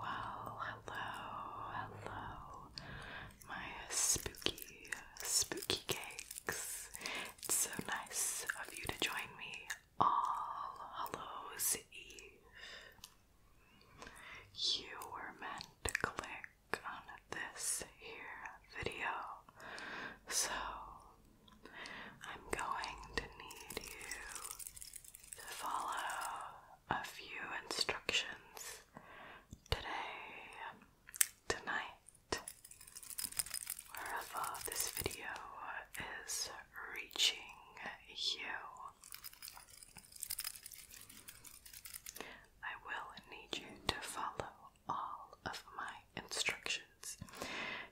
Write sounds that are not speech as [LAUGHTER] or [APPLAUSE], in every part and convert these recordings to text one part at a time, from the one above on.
Well, hello, hello, my spooky, spooky cakes. It's so nice of you to join me all Hallows Eve. You were meant to click on this here video, so I'm going to need you to follow a few instructions today, tonight, wherever this video is reaching you. I will need you to follow all of my instructions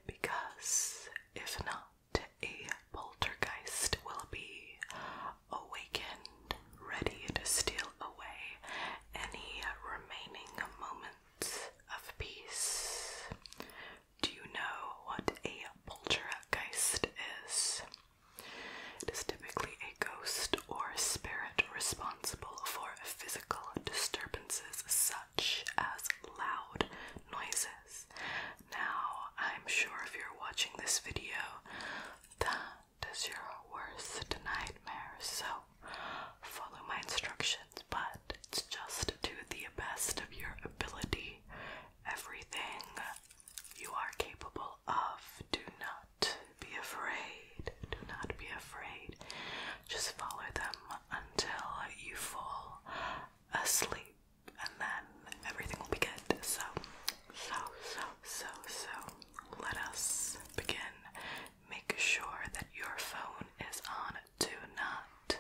because if not, a poltergeist will be awakened, ready to steal away any remaining moments of peace. Do you know what a poltergeist is? It is typically a ghost or spirit responsible for physical disturbances such as loud noises. Now, I'm sure if you're watching this video, that is your worst nightmare, so follow my instructions, but it's just to the best of your ability. Everything you are capable of, do not be afraid. Do not be afraid. Just follow them until you fall asleep and then everything will be good. So, so, so, so, so, let us begin. Make sure that your phone is on. Do not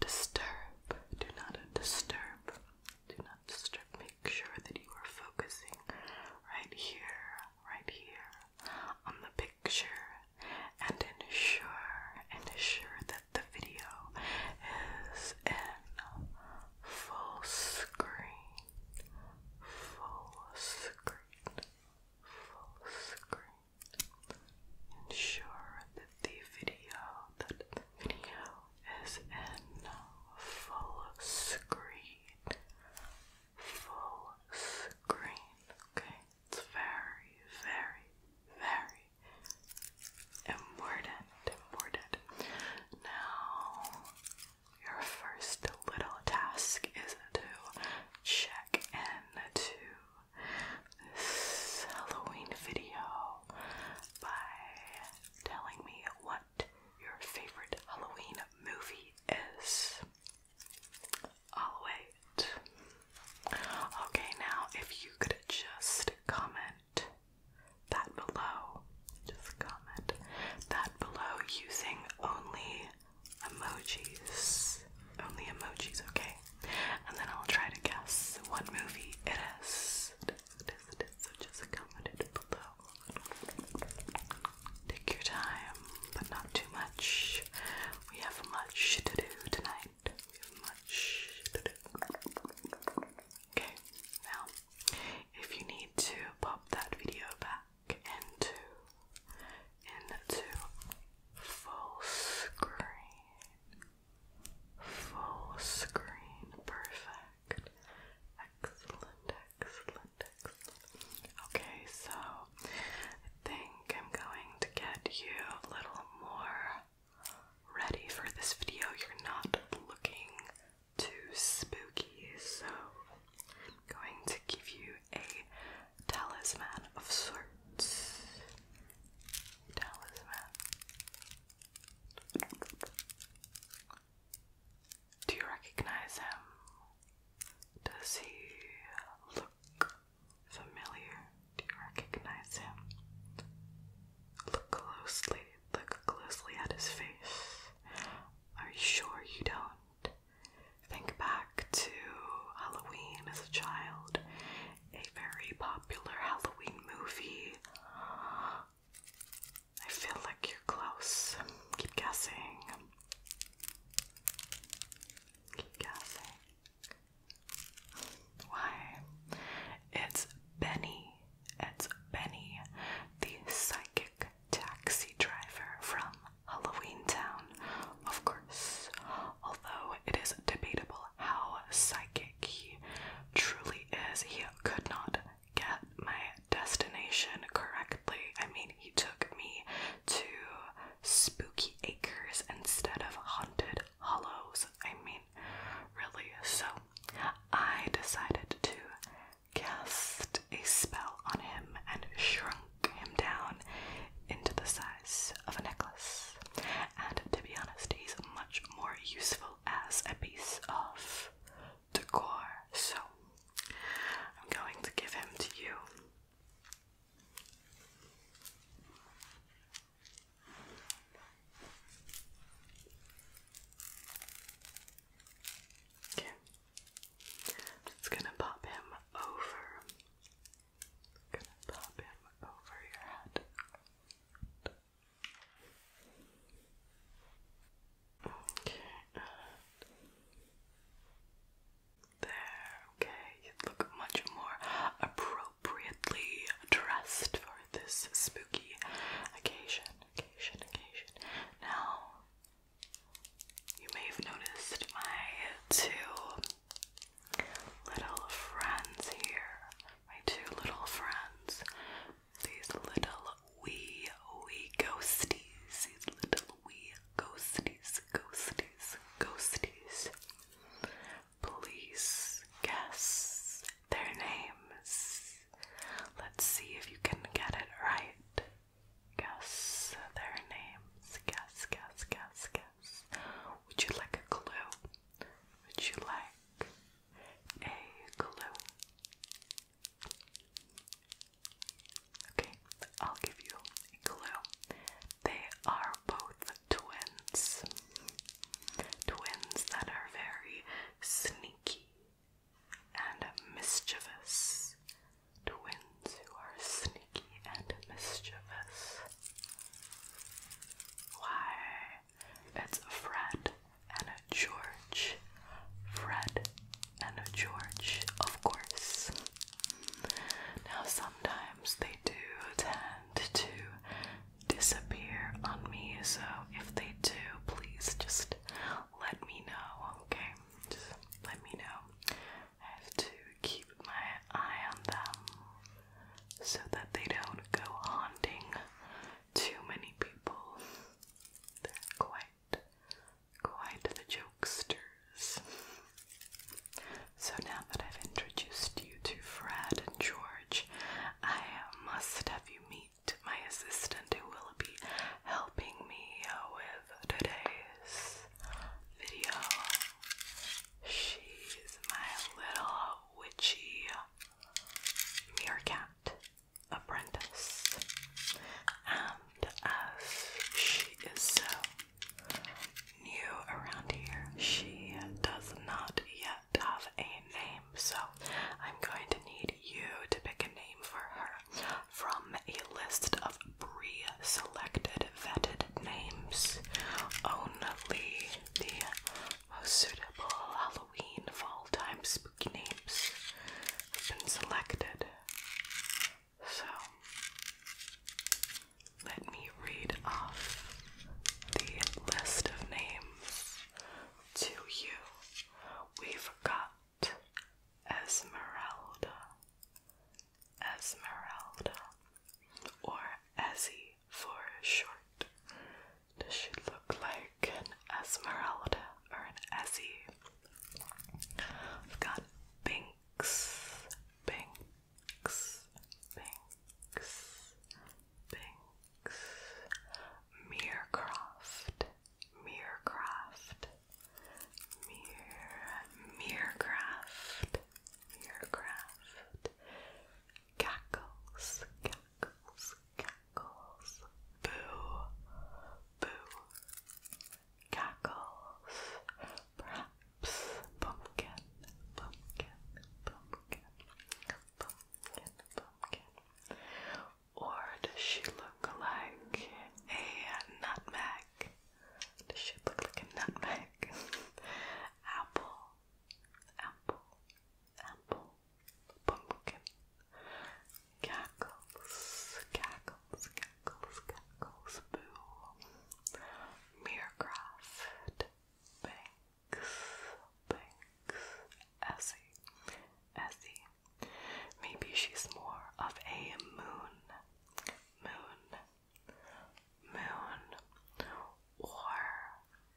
disturb. Do not disturb. Do not disturb. Make sure that you are focusing right here, right here on the picture and ensure ensure that the video is in full screen, full screen, full screen. Ensure that the video that video is in full screen, full screen. Okay. It's very, very, very important, important. Now, your first little task is to check in to this Halloween video by telling me what your favorite Halloween movie is. All the way Okay, now if you could just comment that below, just comment that below using only emojis. Only emojis, okay? And then I'll try to guess what movie it is. it is. So just comment it below. Take your time, but not too much. We have much to do tonight. Okay, now if you need to pop that video back into into full screen. Full screen. Perfect. excellent, excellent. Okay, so I think I'm going to get you a little more ready for this video. You're not looking too spooky, so I'm going to give you a talisman of sorts. Talisman. Do you recognize him? Does he look familiar? Do you recognize him? Look closely. Look closely at his face. Are you sure you don't? Think back to Halloween as a child, a very popular Halloween movie. I feel like you're close. Keep guessing. Keep guessing. Why? It's Benny. It's Benny, the psychic taxi driver from Halloween Town, of course. Although it is debatable how psychic he truly is, he could not get my destination correctly. I mean, he took me to Spooky Acres instead of Haunted Hollows. I mean, really. So I decided to cast a spell on him and shrunk him down into the size of a necklace. And to be honest, he's much more useful as a piece of decor. So I'm going to give him to you. Okay. just gonna pop him over. gonna pop him over your head. Okay. There, okay. You look much more approachable appropriately dressed for this spooky occasion. Occasion, occasion. Now, you may have noticed my two little friends here. My two little friends. These little wee wee ghosties. These little wee ghosties, ghosties, ghosties. Please guess their names. Let's see if you can get it right. Guess their names. Guess, guess, guess, guess. Would you like a clue? Would you like a clue? Okay, I'll give you a clue. They are both twins. Twins that are very sneaky and mischievous. Twins who are sneaky and mischievous. Why? It's Fred and George. Fred and George, of course. Now, sometimes they do tend to disappear on me. So if they do, please just let me know, okay? Just let me know. I have to keep my eye on them so that they don't go haunting too many people. They're quite, quite the jokesters. So now that I've introduced you to Fred and George. I must have you meet my assistant who will helping me with today's video. She's my little witchy meerkat apprentice. And as she is so new around here, she does not yet have a name, so I'm going to need you to pick a name for her from a list of pre selected, vetted names. Only the most suitable Halloween, fall time, spooky names have been selected. So, let me read off the list of names to you. We've got Esmeralda, Esmeralda, or Ezzy for short. Does she look like an Esmeralda or an Ezzy? I've got Binks, Binks, Binks, Binks. Meercroft, Meercroft, Meer, Meercraft, Meercraft, Cackles, Cackles, Cackles, Boo, Boo, Cackles, Perhaps, Pumpkin, Pumpkin, Pumpkin, pumpkin, pumpkin. Or does she look like a nutmeg? Does she look like a nutmeg? [LAUGHS] apple, apple, apple, pumpkin. Cackles, cackles, cackles, cackles, boo. Mirror bang, Banks, Maybe she's more of a moon, moon, moon, or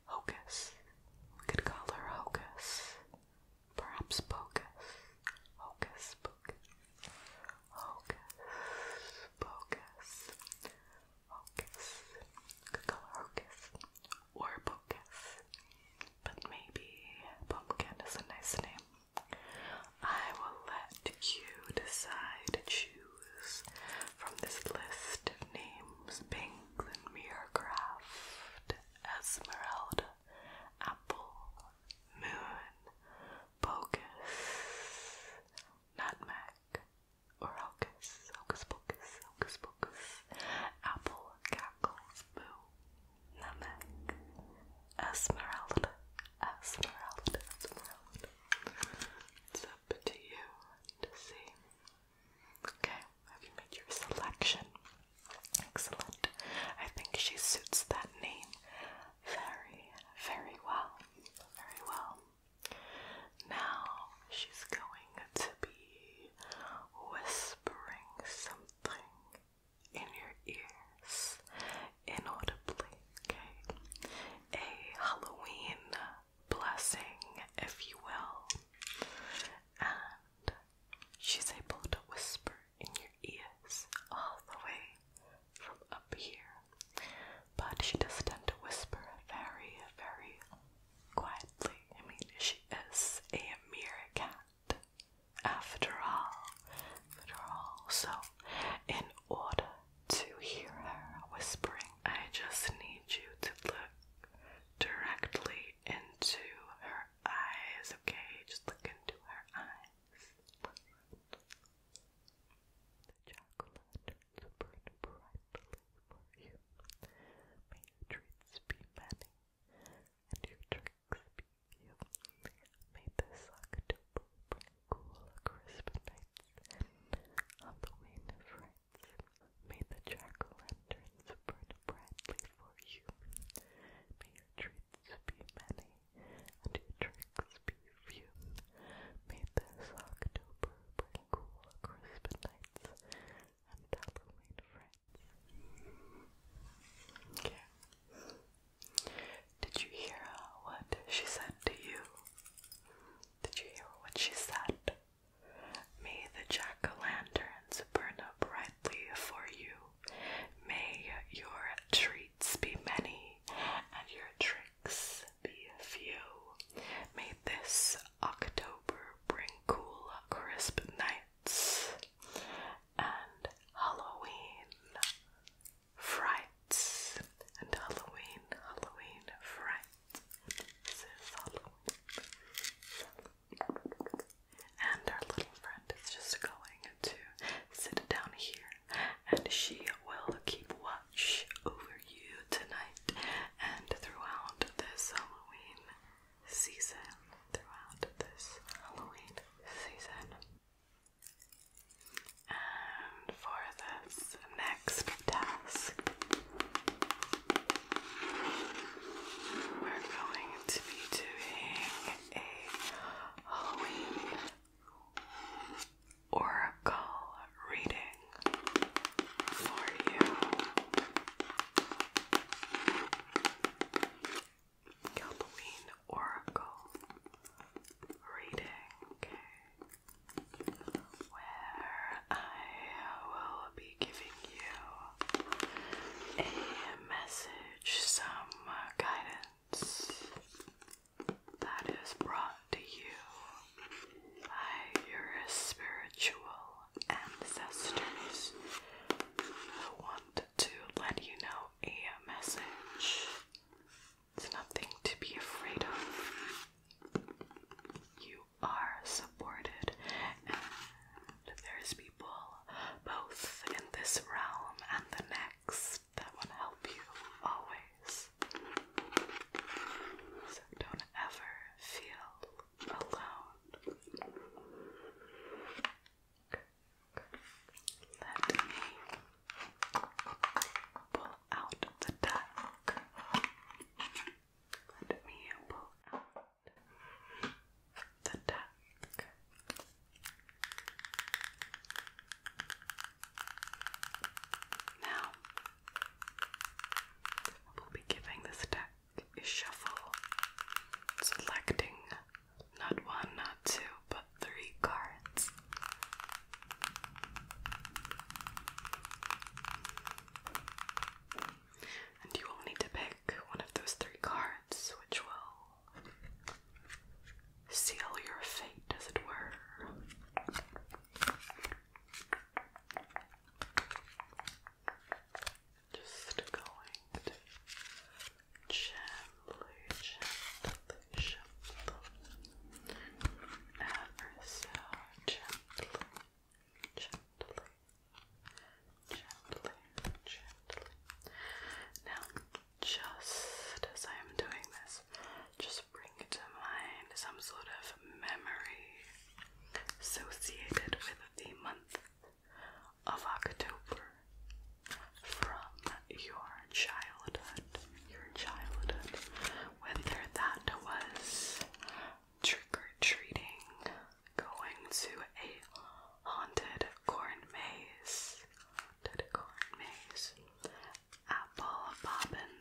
hocus. We could call her hocus, perhaps pocus, hocus, pocus, hocus, pocus, hocus. You could or pocus. But maybe pumpkin is a nice name. I will let you decide, choose from this list of names Binks and Esmeralda, Apple, Moon, Bogus, Nutmeg, Jack or Hocus, Hocus Pocus, Hocus Pocus, Apple Cackles Boo, Namek, Esmeralda, Esmeralda, It's up to you to see. Okay, have you made your selection? Excellent. I think she suits that name very, very well. Very well. Now she's going to be whispering something in your ears inaudibly, okay? A Halloween blessing, if you will. And she's able to whisper in your ears all the way from up here. But she does tend to whisper very, very quietly. I mean, she is a meerkat, after all. After all. So, in order to hear her whispering, I just need you to look directly into her eyes, okay? Just look into her eyes for you. May treats be many, and your tricks be few. May this October bring cool, crisp nights, Halloween frights. May the jack-o'-lanterns burn brightly for you. May treats be many, and your tricks be few. May this October bring cool, crisp nights, did you hear what she said to you? Did you hear what she said? May the jack-o'-lanterns burn up brightly for you. May your treats be many and your tricks be few. May this October bring cool, crisp nights and Halloween frights and Halloween, Halloween frights. This is Halloween. And our little friend is just going to sit down here and she will keep watch over you tonight and throughout this Halloween season, throughout this Halloween season. And for this next task, we're going to be doing a Halloween oracle reading for you. Halloween Oracle reading, where I will be giving you a message, some guidance that is brought to you by your spiritual ancestors who want to let you know a message. It's nothing to be afraid of. You are supported, and there's people both in this realm and the next that want help you always. So don't ever feel alone. Let me pull out the duck. Let me pull out the duck. Now, I will be giving this duck shuffle, selecting not one, not two, but three cards. And you will need to pick one of those three cards, which will seal your fate, as it were just going to gently, gently ever so gently, gently, gently, gently. Now, just as I am doing this, just bring to mind some sort of memory associated with the month of October from your childhood. Your childhood, whether that was trick or treating, going to a haunted corn maze, the corn maze, apple bobbin.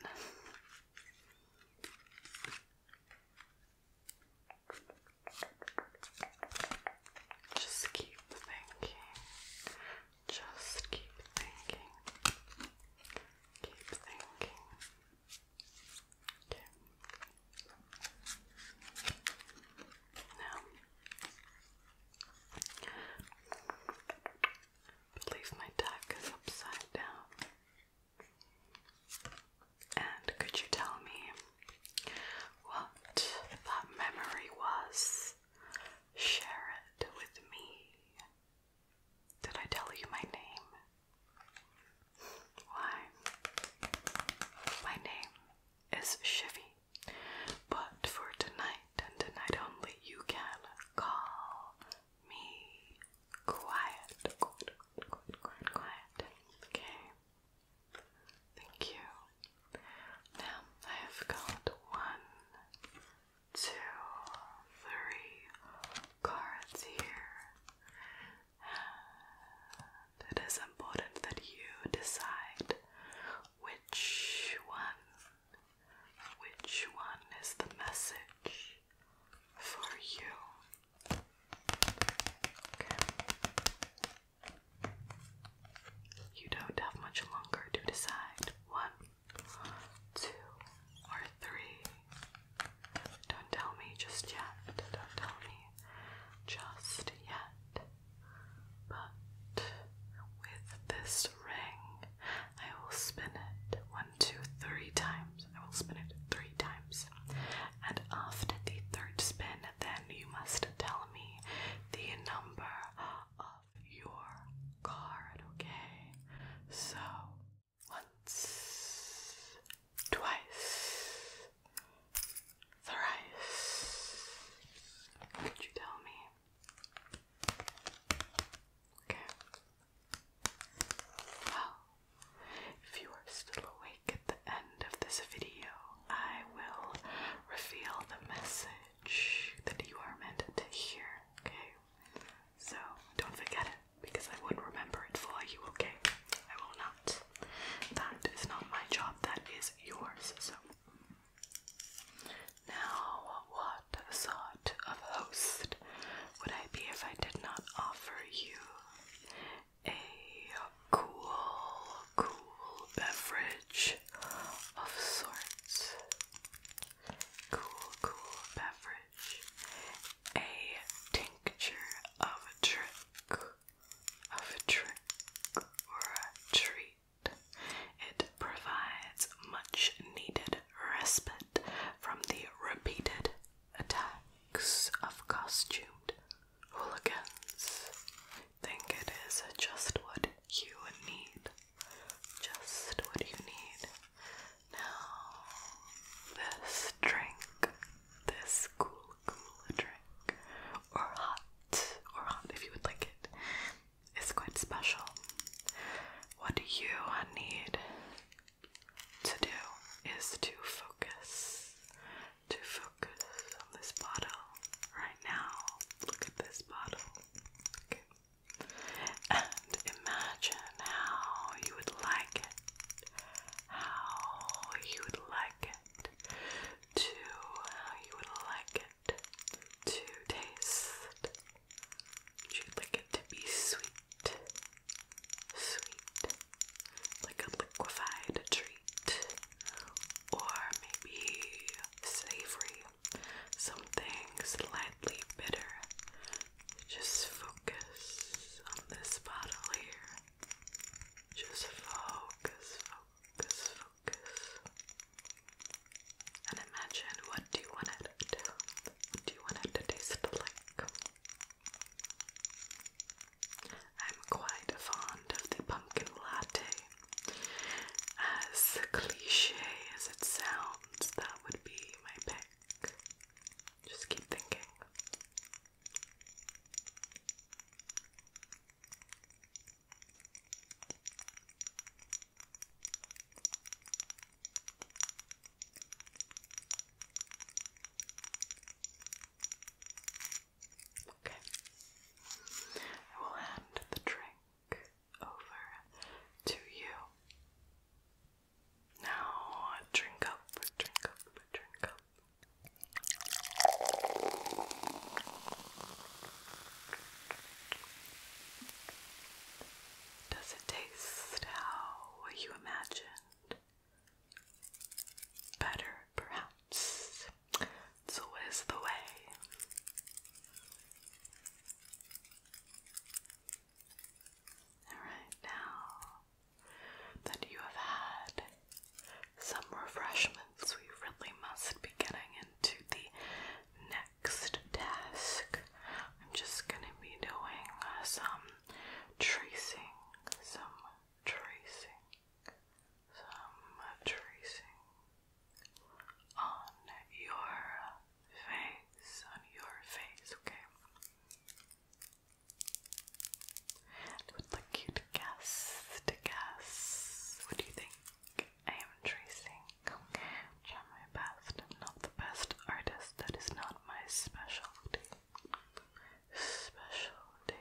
Just keep thinking. Just keep thinking. Keep thinking. Okay. Now, believe my deck is upside down. And could you tell me what that memory was? Share it with me. Did I tell you my name? Why? My name is Shivy, but for tonight and tonight only, you can call me quiet. Quiet, quiet, quiet, quiet. Okay. Thank you. Now I have got one, two, three cards here. And it is important that you decide which one, which one is the message for you. You don't have much longer to decide. One, two, or three. Don't tell me just yet. Don't tell me just yet. But with this ring, I will spin it one, two, three times. I will spin it three times and after the third spin, then you must tell me the number of your card, okay? So, once, twice, thrice. Could you tell me? Okay. Well, if you are still awake at the end of this video, I will reveal the message that you are meant to hear, okay? So don't forget it because I would remember it for you, okay? I will not. That is not my job, that is yours. So now, what sort of host would I be if I did not offer you a cool, cool beverage of sorts. Cool, cool beverage. A tincture of a trick, of a trick, or a treat. It provides much needed respite from the repeated attacks of costumed hooligans. Think it is just what you need. Just what you need. Now, this drink, this cool, cool drink, or hot, or hot if you would like it, is quite special. What you need to do is to focus to focus on this bottle right now. Look at this bottle. And imagine how you would like it. How you would like it to you would like it to taste. Would like it to be sweet? Sweet like a liquefied treat, or maybe savory, something slightly bitter. Just focus on this bottle here. Just focus, focus, focus. And imagine what do you want it to do? What do you want it to taste like? I'm quite fond of the pumpkin latte. As cliche as it sounds, that would be my pick. Just keep thinking. Okay. I will hand the drink over to you. Now, drink up, drink up, drink up. Does it taste how you imagined? better, perhaps. It's always the way. Alright, now that you have had some refreshments, we really must be getting into the next task. I'm just going to be doing some tracing, some tracing some tracing on your face, on your face, okay? would like you to guess, to guess. What do you think I am tracing? Okay, i my best. not the best artist. That is not my specialty. Specialty.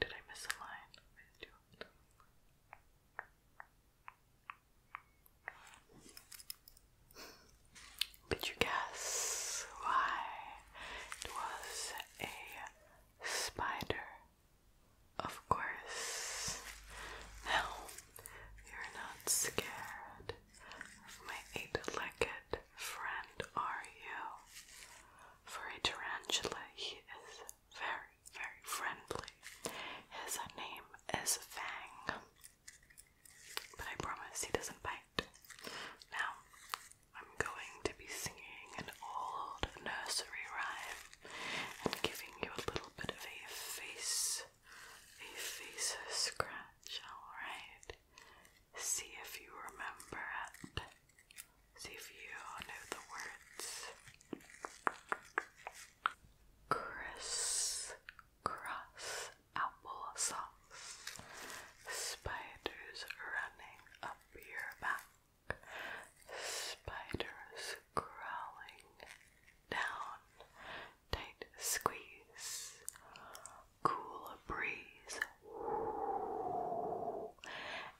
did I miss a line? Did you guess why it was a spider? Of course. Now you're not scared of my eight-legged friend, are you? For a tarantula, he is very, very friendly. His name is Fang. But I promise he doesn't bite. Now, I'm going to be singing an old nursery rhyme and giving you a little bit of a face, a face scratch, alright? See if you remember it. See if you know the words. Criss apple sauce. Spiders running up your back. Spiders crawling down. Tight squeeze. Cool breeze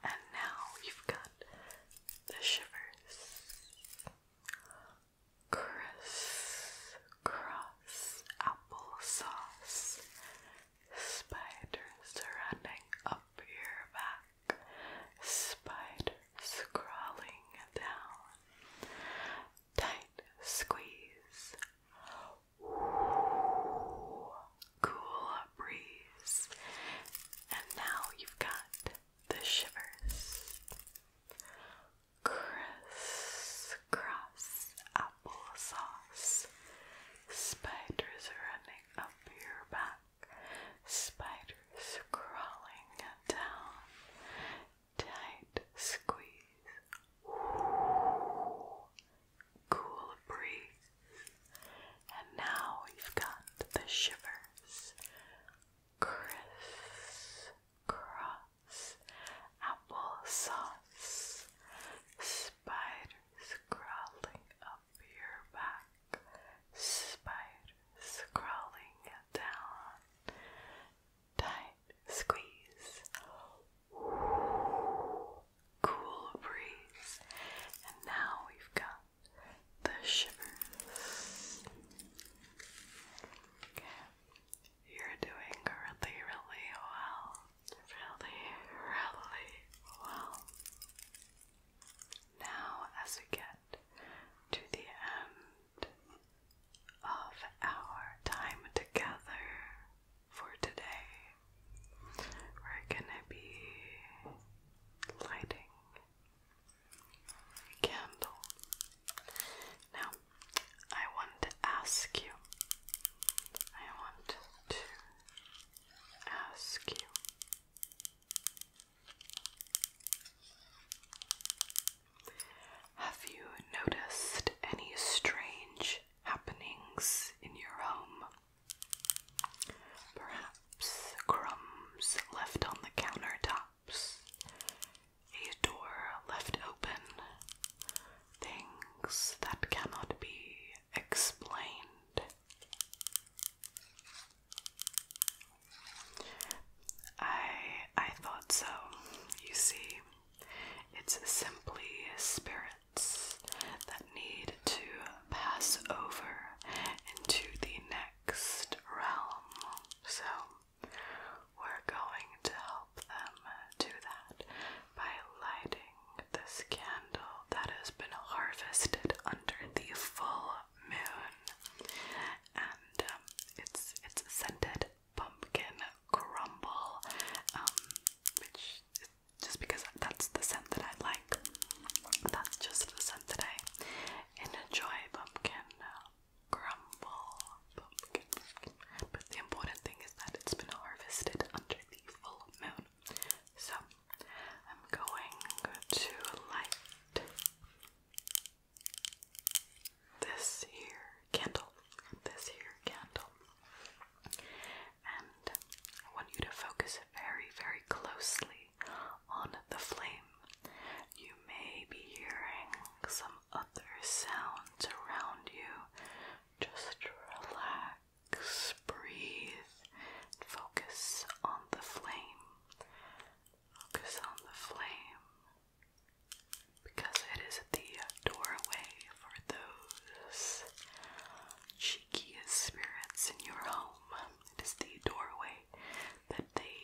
and now we've got the shivers. Criss cross apple sauce. Spiders running up your back. Spiders crawling down. Tight squeeze cool breeze. And now you've got the shivers. criss applesauce. Spiders running up your back. Spiders crawling down. Tight squeeze cool breeze. And now we've got the shivers. Criss cross apple sauce. Spiders crawling up your back. Spiders crawling down. Tight squeeze cool breeze. And now we've got the shivers. You're doing really, really well. Really, really well. Now, as we get to the end of our time together for today, we're gonna be lighting a Now, I want to ask you, I want to ask you. Have you noticed any strange happenings in your home Perhaps crumbs left on the countertops, a door left open, things that cannot be explained. I I thought so. You see, it's simply spirits that need to pass over into the next realm. So, we're going to help them do that by lighting this candle that has been harvested under the full moon. And um, it's it's scented pumpkin crumble, um, which just because that's the scent that I like. That's just the scent today. And enjoy pumpkin uh, crumble. pumpkin. But the important thing is that it's been harvested under the full moon. So I'm going to light this here candle. This here candle. And I want you to focus very, very closely on the flame. You may be hearing some other sounds around you. Just relax, breathe, focus on the flame. Focus on the flame because it is the doorway for those cheekiest spirits in your home. It is the doorway that they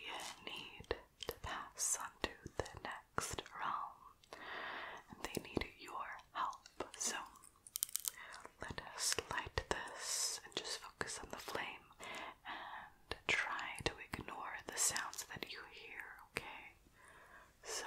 need to pass on the next realm. And they need your help. So let us light this and just focus on the flame and try to ignore the sounds that you hear, okay? So.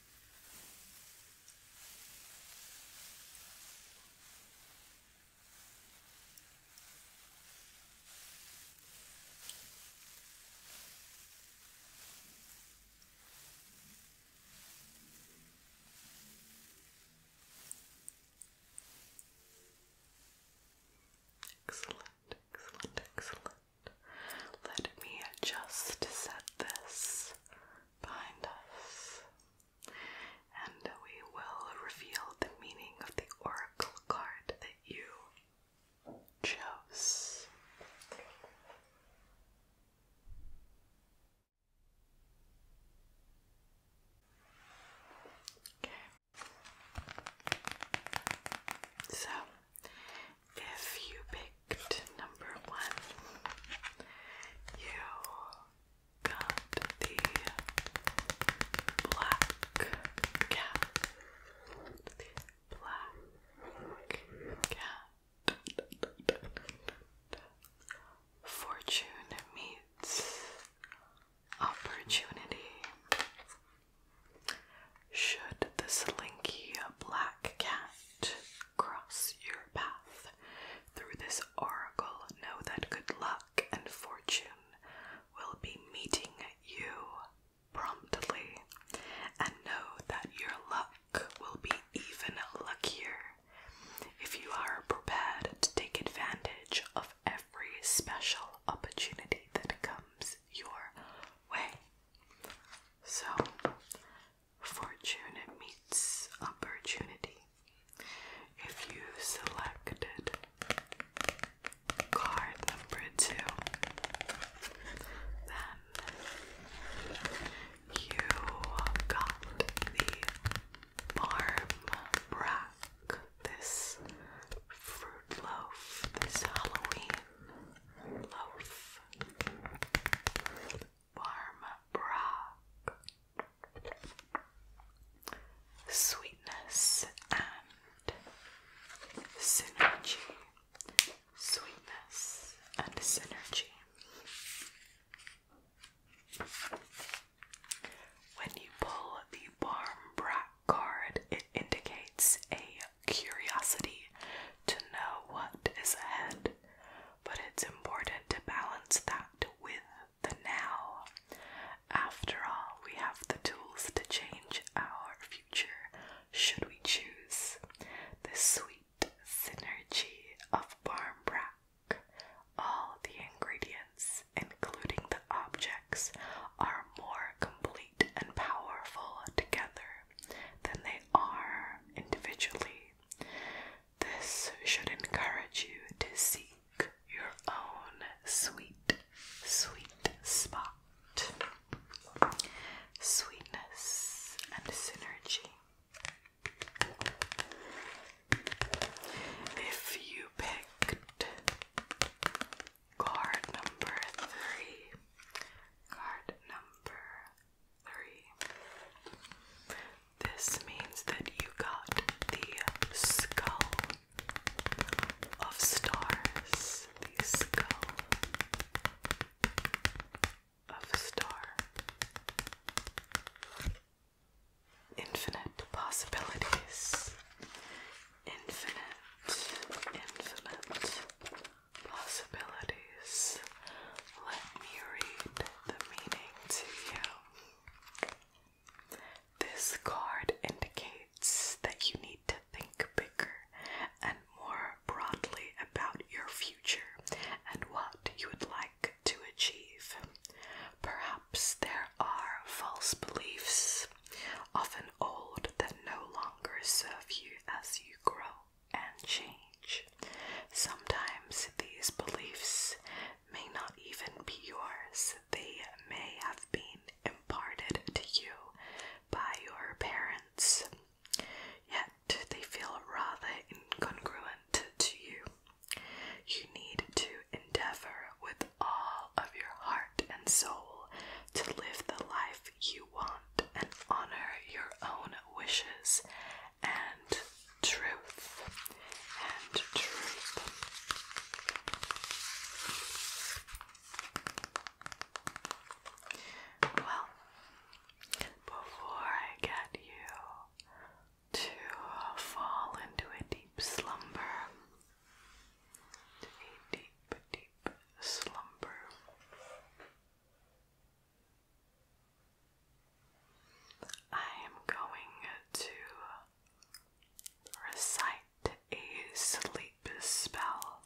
Excellent, excellent, excellent. Let me just set this behind us, and we will reveal the meaning of the oracle card that you chose. Okay. So, if you picked number one, you got the black cat. Black cat. Fortune meets opportunity. Should the slinky black cat cross your path. Through this oracle, know that good luck and fortune will be meeting you promptly, and know that your luck will be even luckier if you are prepared to take advantage of every special opportunity that comes your way. So, fortune meets opportunity. If you selected card number two, then you got the Barm Brack, this fruit loaf, this Halloween loaf. Warm Brock. Sweetness and synergy. Sweetness and synergy. When you pull the Barm Brat card, it indicates a curiosity to know what is ahead, but it's important to balance that with the now. After all, we have the tools to change our future should we choose. The sweet synergy of barmbrack, All the ingredients, including the objects, are more complete and powerful together than they are individually. This should encourage you to seek your own sweet, sweet spot. Sweetness and synergy. If you picked card number three, card number three. This means that you got the skull of stars. The skull of star. Infinite possibilities. Infinite, infinite possibilities. Let me read the meaning to you. This card indicates that you need to think bigger and more broadly about your future and what you would like to achieve. Perhaps there are false beliefs, often old, that no longer serve you as you grow and change. Sometimes these beliefs may not even be yours, they may have been imparted to you by your parents, yet they feel rather incongruent to you. You need to endeavor with all of your heart and soul to live the life you want and honor your own wishes and truth and truth. Well, before I get you to fall into a deep slumber, a deep, deep slumber. I am going to recite a sleep spell.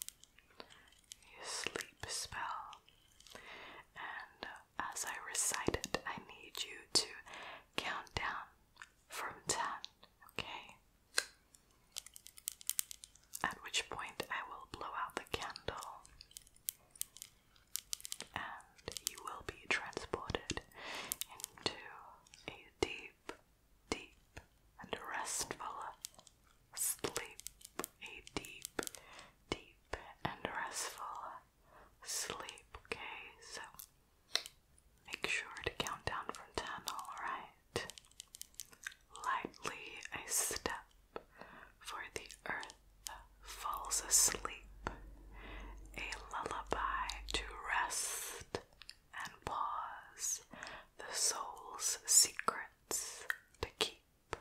A sleep spell. And as I recite it, I need you to count down from 10, okay? At which point I will blow out the candle and you will be transported into a deep, deep, and restful sleep. A deep, deep, and restful sleep. Okay, so make sure to count down from 10, alright? Lightly, a step for the earth falls asleep, a lullaby to rest and pause, the soul's secrets to keep.